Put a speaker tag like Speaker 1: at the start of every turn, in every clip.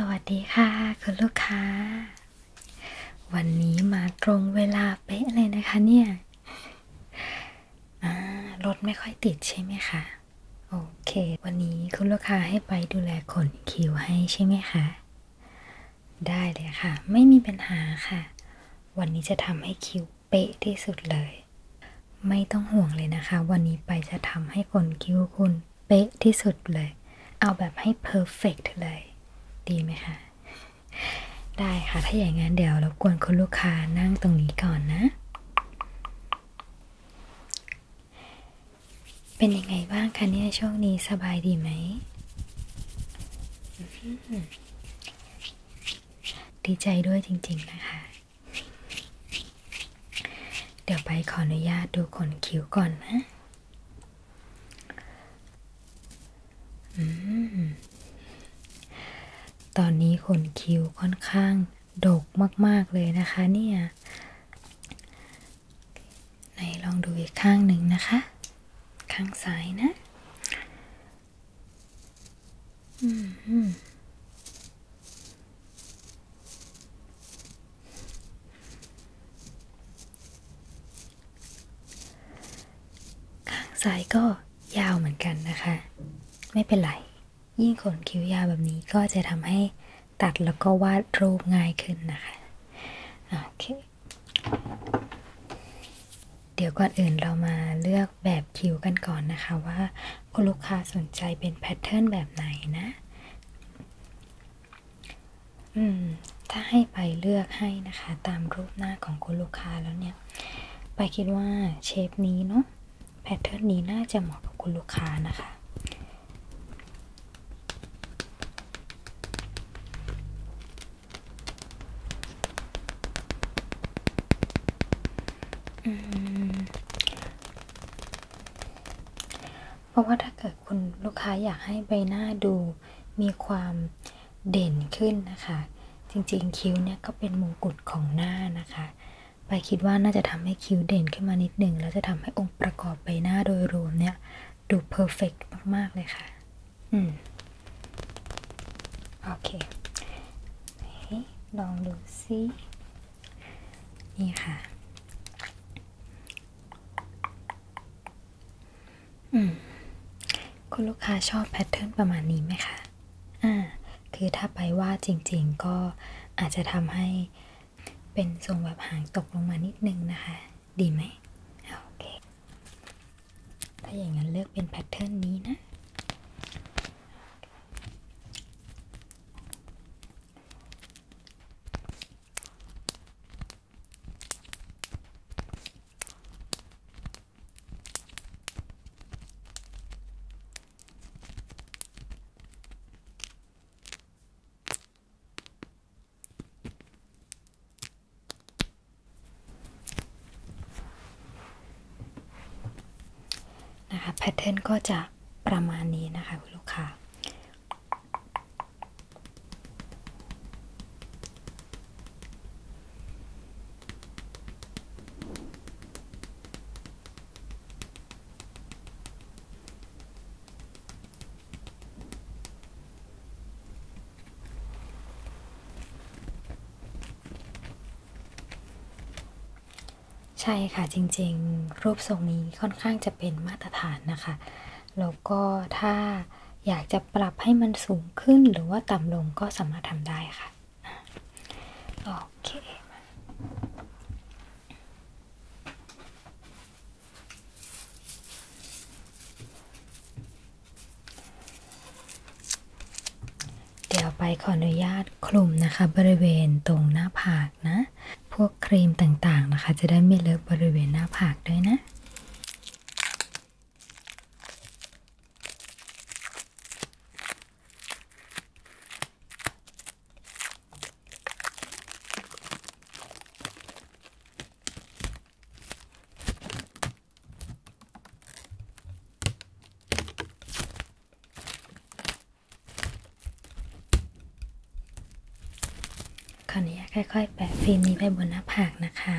Speaker 1: สวัสดีค่ะ คุณลูกค้า วันนี้มาตรงเวลาเป๊ะเลยนะคะเนี่ยรถไม่ค่อยติดใช่ไหมคะโเค วันนี้คุณลูกค้าให้ไปดูแลขนคิ้วให้ใช่ไหมคะ ได้เลยค่ะ ไม่มีปัญหาค่ะ วันนี้จะทำให้คิ้วเป๊ะที่สุดเลย ไม่ต้องห่วงเลยนะคะ วันนี้ไปจะทำให้ขนคิ้วคุณเป๊ะที่สุดเลยเอาแบบให้เพอร์เฟกเลย ดีไหมคะได้ค่ะ ถ้าอย่างนั้นเดี๋ยวรบกวนคุณลูกค้านั่งตรงนี้ก่อนนะเป็นยังไงบ้างคะเนี่ยช่วงนี้สบายดีไหม ดีใจด้วยจริงๆนะคะ เดี๋ยวไปขออนุญาตดูขนคิ้วก่อนนะอตอนนี้ขนคิ้วค่อนข้าง ดกมากๆเลยนะคะเนี่ยไหนลองดูอีกข้างหนึ่งนะคะ ข้างซ้ายนะข้างซ้ายก็ยาวเหมือนกันนะคะ ไม่เป็นไรยิ่งขนคิ้วยาวแบบนี้ก็จะทำใหตัดแล้วก็วาดรูปง่ายขึ้นนะคะโอเคเดี๋ยวก่อนอื่นเรามาเลือกแบบคิวกันก่อนนะคะ ว่าคุณลูกค้าสนใจเป็นแพทเทิร์นแบบไหนนะอืมถ้าให้ไปเลือกให้นะคะ ตามรูปหน้าของคุณลูกค้าแล้วเนี่ย ไปคิดว่าเชฟนี้เนาะแพทเทิร์นนี้น่าจะเหมาะกับคุณลูกค้านะคะเพราะว่าถ้าเกิดคุณลูกค้าอยากให้ใบหน้าดูมีความเด่นขึ้นนะคะ จริงๆคิ้วเนี่ยก็เป็นมงกุฎของหน้านะคะ ไปคิดว่าน่าจะทำให้คิ้วเด่นขึ้นมานิดหนึ่งแล้วจะทำให้องประกอบใบหน้าโดยรวมเนี่ยดูเพอร์เฟกมาก ๆ เลยค่ะ อืม โอเค ลองดูซิ นี่ค่ะ อืม คุณลูกค้าชอบแพทเทิร์นประมาณนี้ไหมคะ อ่า คือถ้าไปว่าจริงๆก็อาจจะทำใหเป็นทรงแบบหางตกลงมานิดนึงนะคะ ดีไหมโอเค ถ้าอย่างนั้นเลือกเป็นแพทเทิร์นนี้นะนะคะ แพทเทิร์นก็จะประมาณนี้นะคะคุณลูกค้าใช่ค่ะจริงๆรูปทรงนี้ค่อนข้างจะเป็นมาตรฐานนะคะแล้วก็ถ้าอยากจะปรับให้มันสูงขึ้นหรือว่าต่ำลงก็สามารถทำได้ค่ะโอเคเดี๋ยวไปขออนุญาตคลุมนะคะ บริเวณตรงหน้าผากนะ พวกครีมต่างๆนะคะ จะได้ไม่เลอะบริเวณหน้าผากด้วยนะขออนุญาตค่อยๆ แปะฟิล์มนี้ไปบนหน้าผากนะคะ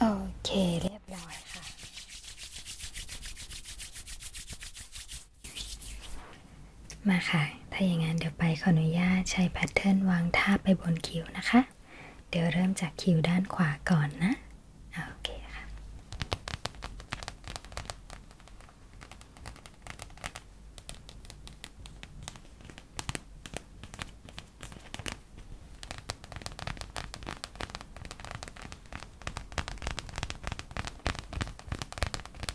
Speaker 1: โอเคเรียบร้อยค่ะมาค่ะ ถ้าอย่างนั้นเดี๋ยวไปขออนุญาตใช้แพทเทิร์นวางทาบไปบนคิ้วนะคะ เดี๋ยวเริ่มจากคิ้วด้านขวาก่อนนะ โอเคค่ะโ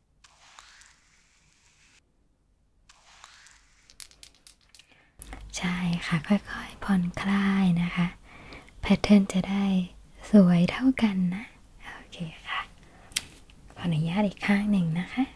Speaker 1: ใช่ค่ะ ค่อยๆผ่อน คลายนะคะ แพทเทิร์นจะได้สวยเท่ากันนะ โอเค ค่ะขออนุญาตอีกข้างหนึ่งนะคะโ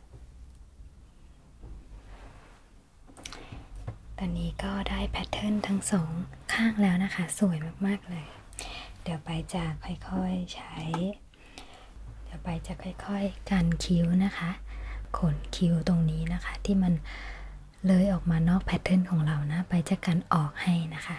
Speaker 1: ตอนนี้ก็ได้แพทเทิร์นทั้งสองข้างแล้วนะคะ สวยมากๆ เลย เดี๋ยวไปจะค่อยๆใช้ เดี๋ยวไปจะค่อยๆกันคิ้วนะคะ ขนคิ้วตรงนี้นะคะ ที่มันเลยออกมานอกแพทเทิร์นของเรานะ ไปจะกันออกให้นะคะ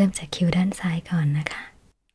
Speaker 1: เริ่มจากคิวด้านซ้ายก่อนนะคะ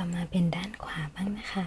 Speaker 1: ต่อมาเป็นด้านขวาบ้างนะคะ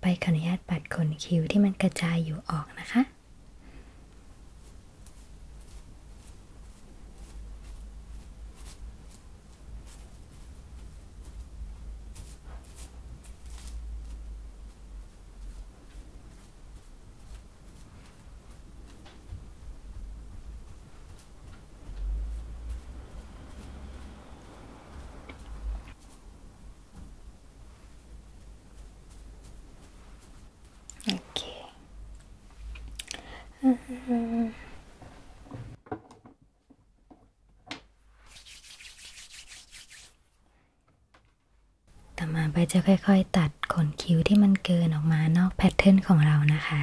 Speaker 1: ไปขออนุญาตปัดขนคิ้วที่มันกระจายอยู่ออกนะคะ Okay. Uh h ต่อมาไปจะค่อย ๆ ตัดขนคิ้วที่มันเกินออกมานอกแพทเทิร์นของเรานะคะ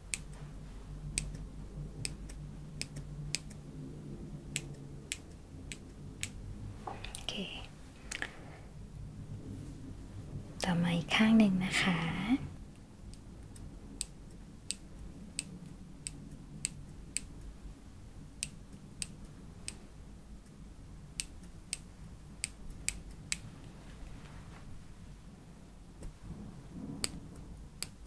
Speaker 1: โอเคต่อมาอีกข้างหนึ่งนะคะ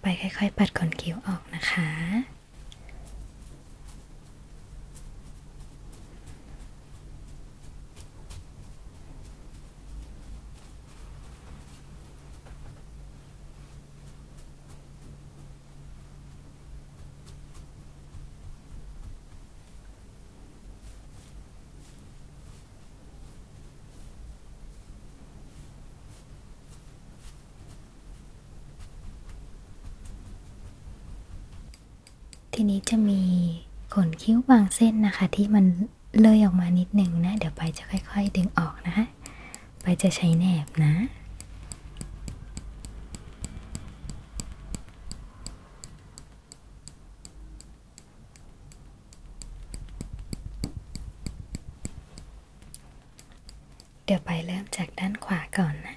Speaker 1: ไปค่อยๆ ปัดขนคิ้วออกนะคะเทีนี้จะมีขนคิ้วบางเส้นนะคะที่มันเลยออกมานิดหนึ่งนะเดี๋ยวไปจะค่อยๆดึงออกนะคะ ไปจะใช้แหนบนะเดี๋ยวไปเริ่มจากด้านขวาก่อนนะ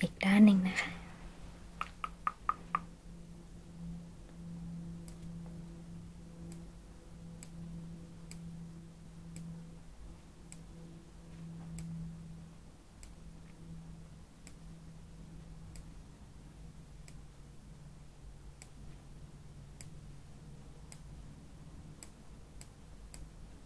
Speaker 1: อีกด้านหนึ่งนะคะ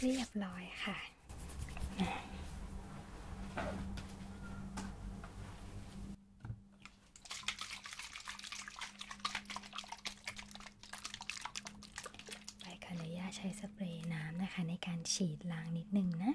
Speaker 1: เรียบร้อยค่ะไปขออนุญาตใช้สเปรย์น้ำนะคะ ในการฉีดล้างนิดนึงนะ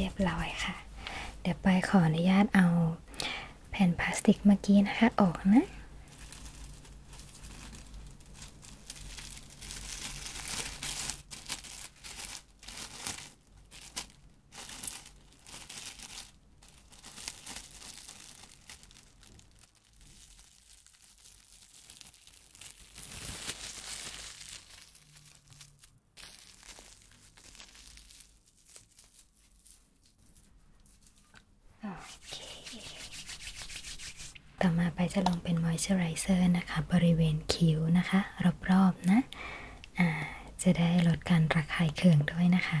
Speaker 1: เรียบร้อยค่ะ เดี๋ยวไปขออนุญาตเอาแผ่นพลาสติกเมื่อกี้นะคะ ออกนะต่อมาไปจะลองเป็นมอยเจอไรเซอร์นะคะ บริเวณคิ้วนะคะรรอบๆนะะจะได้ลดการระคายเคืองด้วยนะคะ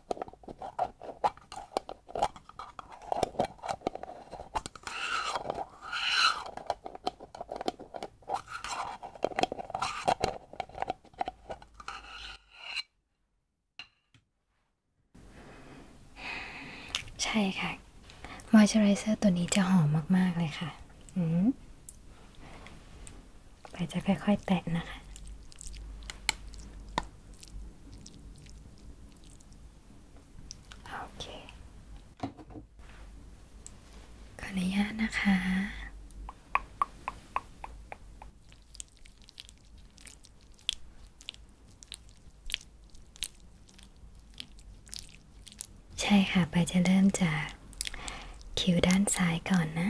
Speaker 1: ใช่ค่ะ มอยเจอไรเซอร์ตัวนี้จะหอมมาก ๆ เลยค่ะ อืมไปจะค่อยๆแตะนะคะ โอเคขออนุญาตนะคะ ใช่ค่ะ ไปจะเริ่มจากคิวด้านซ้ายก่อนนะ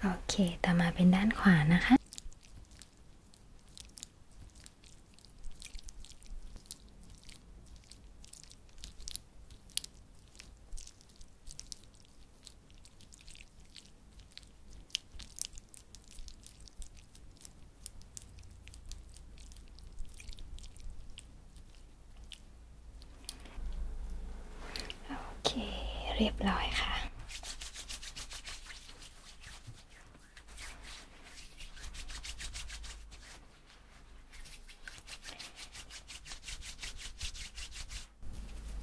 Speaker 1: โอเค ต่อมาเป็นด้านขวานะคะโอเคเรียบร้อยค่ะ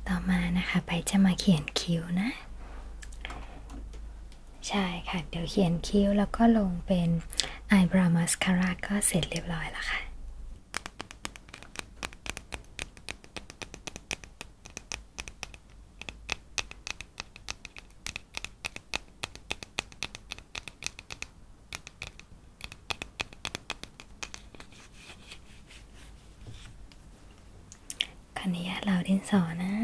Speaker 1: ต่อมานะคะไปจะมาเขียนคิ้วนะ ใช่ค่ะ เดี๋ยวเขียนคิ้วแล้วก็ลงเป็นอายบราวมัสคาร่าก็เสร็จเรียบร้อยแล้วค่ะขออนุญาเราดินสอนะเ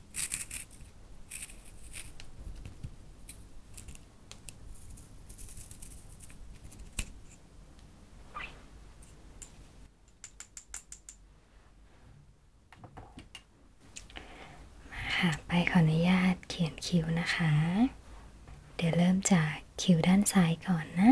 Speaker 1: ค่ะ ไปขออนุญาตเขียนคิวนะคะ เดี๋ยวเริ่มจากคิวด้านซ้ายก่อนนะ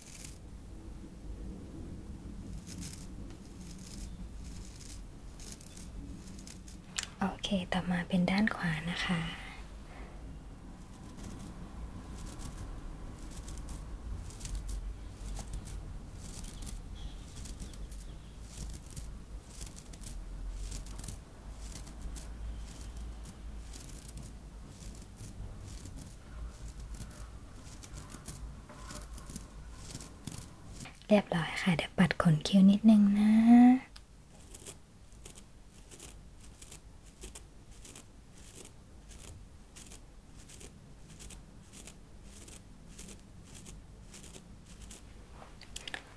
Speaker 1: โอเค ต่อมาเป็นด้านขวานะคะโเรียบร้อยค่ะ เดี๋ยวปัดขนคิ้วนิดนึงนะ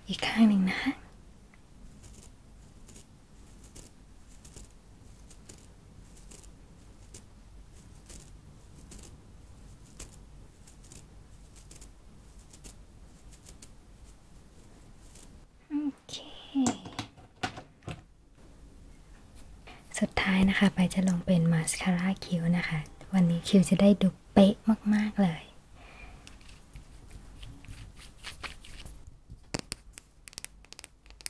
Speaker 1: อีกข้างหนึ่งนะคะสุดท้ายนะคะไปจะลงเป็นมาสคาร่าคิ้วนะคะ วันนี้คิ้วจะได้ดูเป๊ะมากๆเลย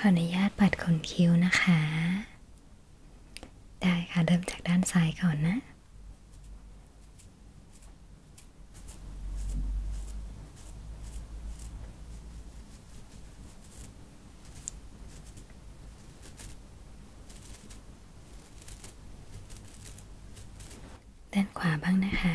Speaker 1: ขออนุญาตปัดขนคิ้วนะคะ ได้ค่ะ เริ่มจากด้านซ้ายก่อนนะด้านขวาบ้างนะคะ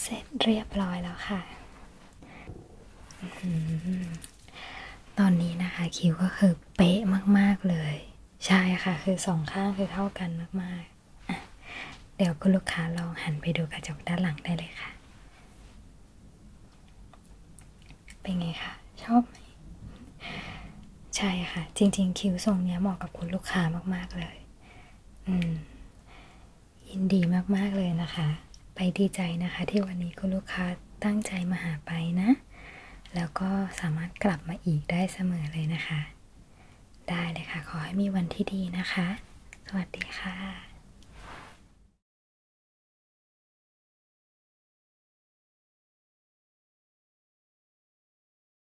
Speaker 1: เสร็จเรียบร้อยแล้วค่ะ ตอนนี้นะคะคิวก็คือเป๊ะมาก ๆ เลย ใช่ค่ะ คือสองข้างคือเท่ากันมากๆเดี๋ยวคุณลูกค้าลองหันไปดูกระจกด้านหลังได้เลยค่ะ เป็นไงคะชอบไหมใช่ค่ะ จริงๆคิวทรงนี้เหมาะกับคุณลูกค้ามากๆเลยยินดีมาก ๆ เลยนะคะ ไปดีใจนะคะที่วันนี้คุณลูกค้าตั้งใจมาหาไปนะ แล้วก็สามารถกลับมาอีกได้เสมอเลยนะคะ ได้เลยค่ะ ขอให้มีวันที่ดีนะคะ สวัสดีค่ะ